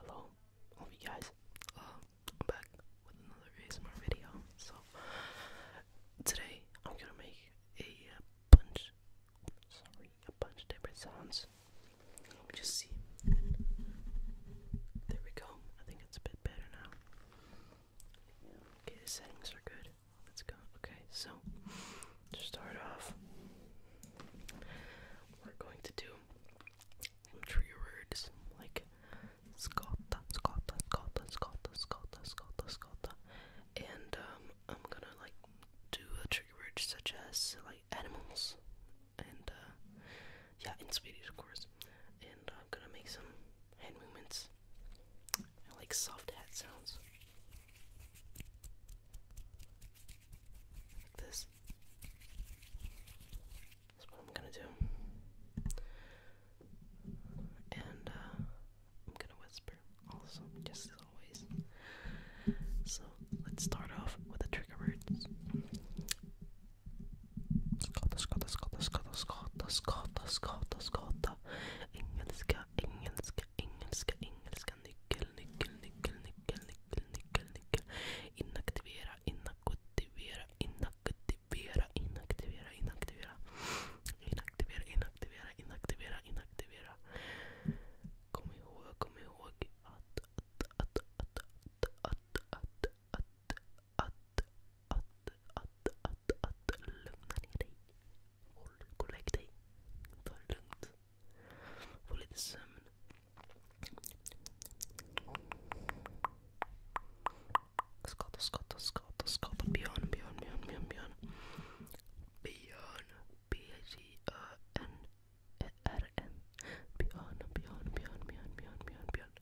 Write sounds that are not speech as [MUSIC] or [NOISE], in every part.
Hello, all guys. Um, I'm back with another ASMR video. So today I'm gonna make a uh, bunch, a bunch of different sounds. Let me just see. There we go. I think it's a bit better now. Okay, the settings are good. Let's go. Okay, so to start off, we're going to do some trigger words like scotta, scotta, scotta, scotta, scotta, scotta, scotta. And um, I'm gonna like do a trigger word such as like animals and uh, yeah, in Swedish of course. And I'm gonna make some hand movements and like soft hat sounds. Like this. That's what I'm gonna do. And uh, I'm gonna whisper also, just as always. So let's start off with the trigger words. Skotta, skotta, skotta, skotta, skotta, skotta, skotta, skotta. Engelska, engelska, engelska, engelska, nyckel, nyckel, nyckel, nyckel, nyckel, nyckel, nyckel. Inaktivera, inaktivera, inaktivera, inaktivera, inaktivera. Inaktivera, inaktivera, inaktivera, inaktivera. Kom ihåg, kom ihåg att, att, att, att, att, att, att, att, att, att, att, att, att, lugna ner dig. hold collecting violent volletism Scott Scott Scott Scott beyond beyond beyond beyond beyond beyond B I G N R N beyond beyond beyond beyond beyond beyond beyond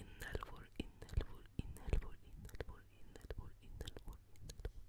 in that world in that world in that world in that world in that world in that world in that world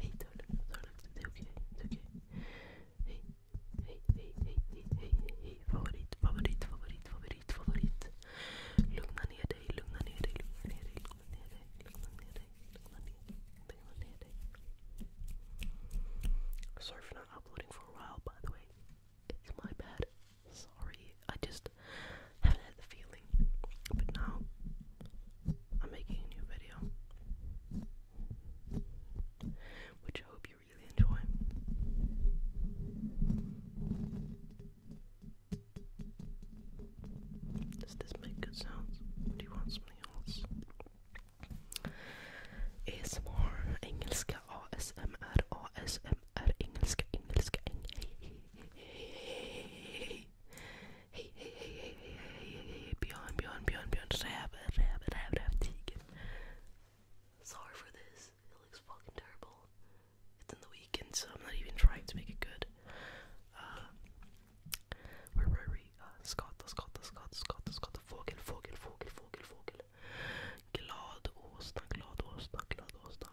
Hey, darling, darling, it's okay, it's okay. Hey, hey, hey, hey, hey, hey, hey, favorit, favorit, favorit, favorit, favorit. Lugna ner dig, lugna ner dig, lugna ner dig, lugna ner dig, lugna ner dig, lugna ner dig, lugna ner dig. Sorry for not uploading for a while, by the way. It's my bad. Sorry, I just haven't had the feeling. But now I'm making a new video, which I hope you really enjoy. Does this make good sounds? Do you want something else? ASMR, engelska, ASMR, ASMR, engelska, engelska, engelska. Hej, hej, hej, hej, hej, hej, hej, Björn, Björn, Björn, Björn, räven, räven, räven, rävtigen. Sorry for this, it looks fucking terrible. It's in the weekend, so I'm not even trying to make it good. Uh, where were we? Uh, Scott, Scott, Scott, Scott, Scott, fågel, fågel, fågel, fågel, fågel. Glad åsna, glad åsna, glad åsna.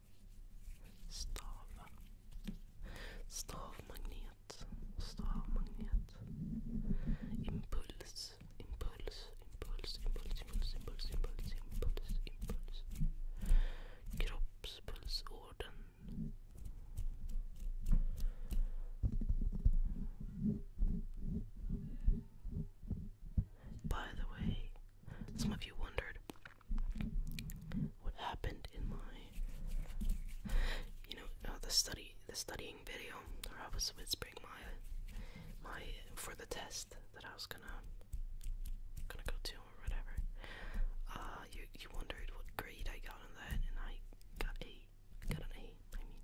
Stava. Stavmagnet. Stavmagnet. Impuls. Impuls. Impuls. Impuls. Impuls. Impuls. Impuls. Impuls. Impuls. Kroppspulsorden. By the way, some of you wondered what happened in my, you know, uh, the study, the studying video, where I was whispering my, my for the test that I was gonna, gonna go to or whatever. Uh, you you wondered what grade I got on that, and I got a, got an A. I mean,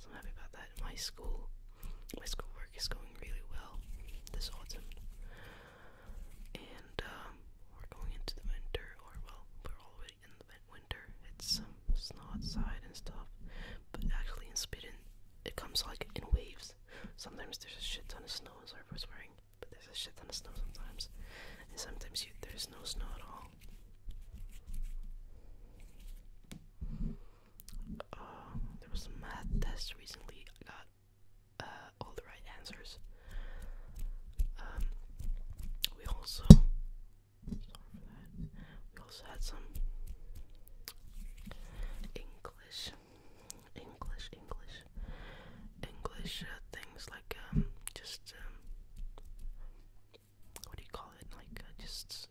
so I'm happy about that. My school, my schoolwork is going really well this autumn, and um, we're going into the winter, or well, we're already in the winter. It's um, snow outside and stuff, but actually in Sweden it comes like in waves. Sometimes there's a shit ton of snow. i for wearing, but there's a shit ton of snow sometimes, and sometimes you, there's no snow at all. Um, there was a math test recently. I got uh, all the right answers. Um, we also, We also had some English, English, English, English uh, things like um, just what do you call it? Like uh, just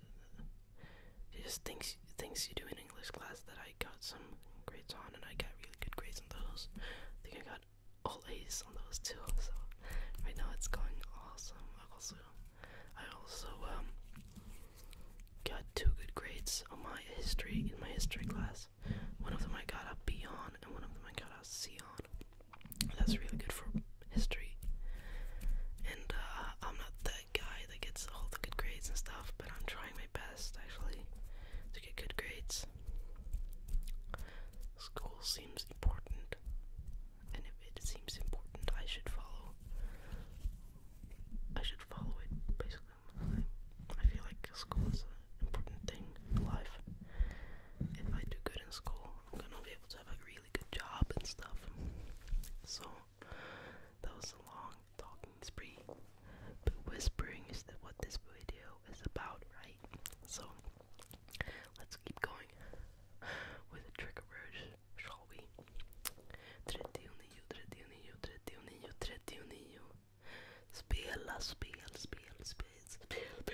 just things things you do in English class that I got some grades on, and I got really good grades on those. I think I got all A's on those too. [LAUGHS] So right now it's going awesome. I also I also um got two good grades on my history in my history class. One of them I got a B on, and one of them I got a C on. That's really good for history. And uh, I'm not that guy that gets all the good grades and stuff, but I'm trying my best actually to get good grades. School seems important, and if it seems important, I should follow. I should follow it basically. I feel like school is an important thing in life. If I do good in school, I'm gonna be able to have a good job and stuff. So that was a long talking spree. But whispering is what this video is about, right? So let's keep going with the trigger word, shall we? Spela, spel, spel, spel, spel, spel.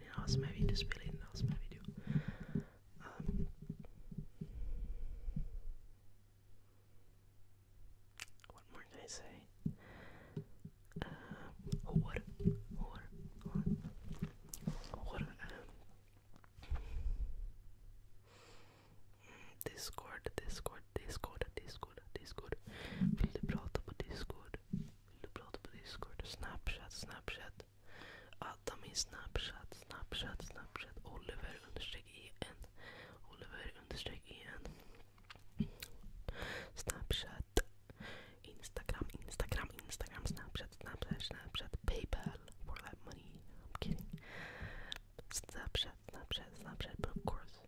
spelling az megvédő, spelling az megvédő. Um, what more can I say? Uh, hor, hor, Discord, Discord, Discord, Discord, Discord. Vill du prata Discord? Vill du prata på Discord? Snapchat, Snapchat. Adda min Snapchat, Snapchat, Snapchat. Oliver understreck en. Oliver understreck en. Snapchat. Instagram, Instagram, Instagram, Snapchat, Snapchat, Snapchat. Paypal for that money. I'm kidding. Snapchat, Snapchat, Snapchat. But of course,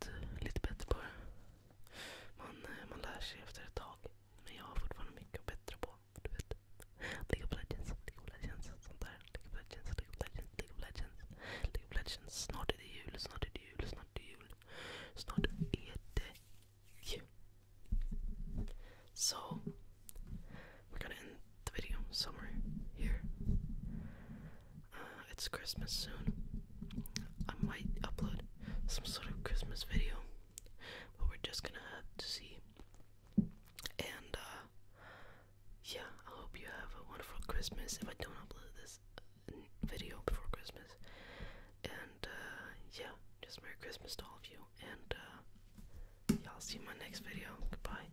blivit lite bättre på Man, eh, man lär sig efter ett tag. Men jag har fortfarande mycket att bättra på. Du League of Legends, League of Legends, sånt där. League of Legends, League of Legends, League of Legends. League of Legends. Snart är det jul, snart är det jul, snart är det So, we're gonna end the video somewhere here. Uh, it's Christmas soon. I might upload some sort of Christmas video, but we're just gonna have to see. And, uh, yeah, I hope you have a wonderful Christmas if I don't upload this uh, video before Christmas. And, yeah, just Merry Christmas to all of you, and, uh, y'all see my next video. Goodbye.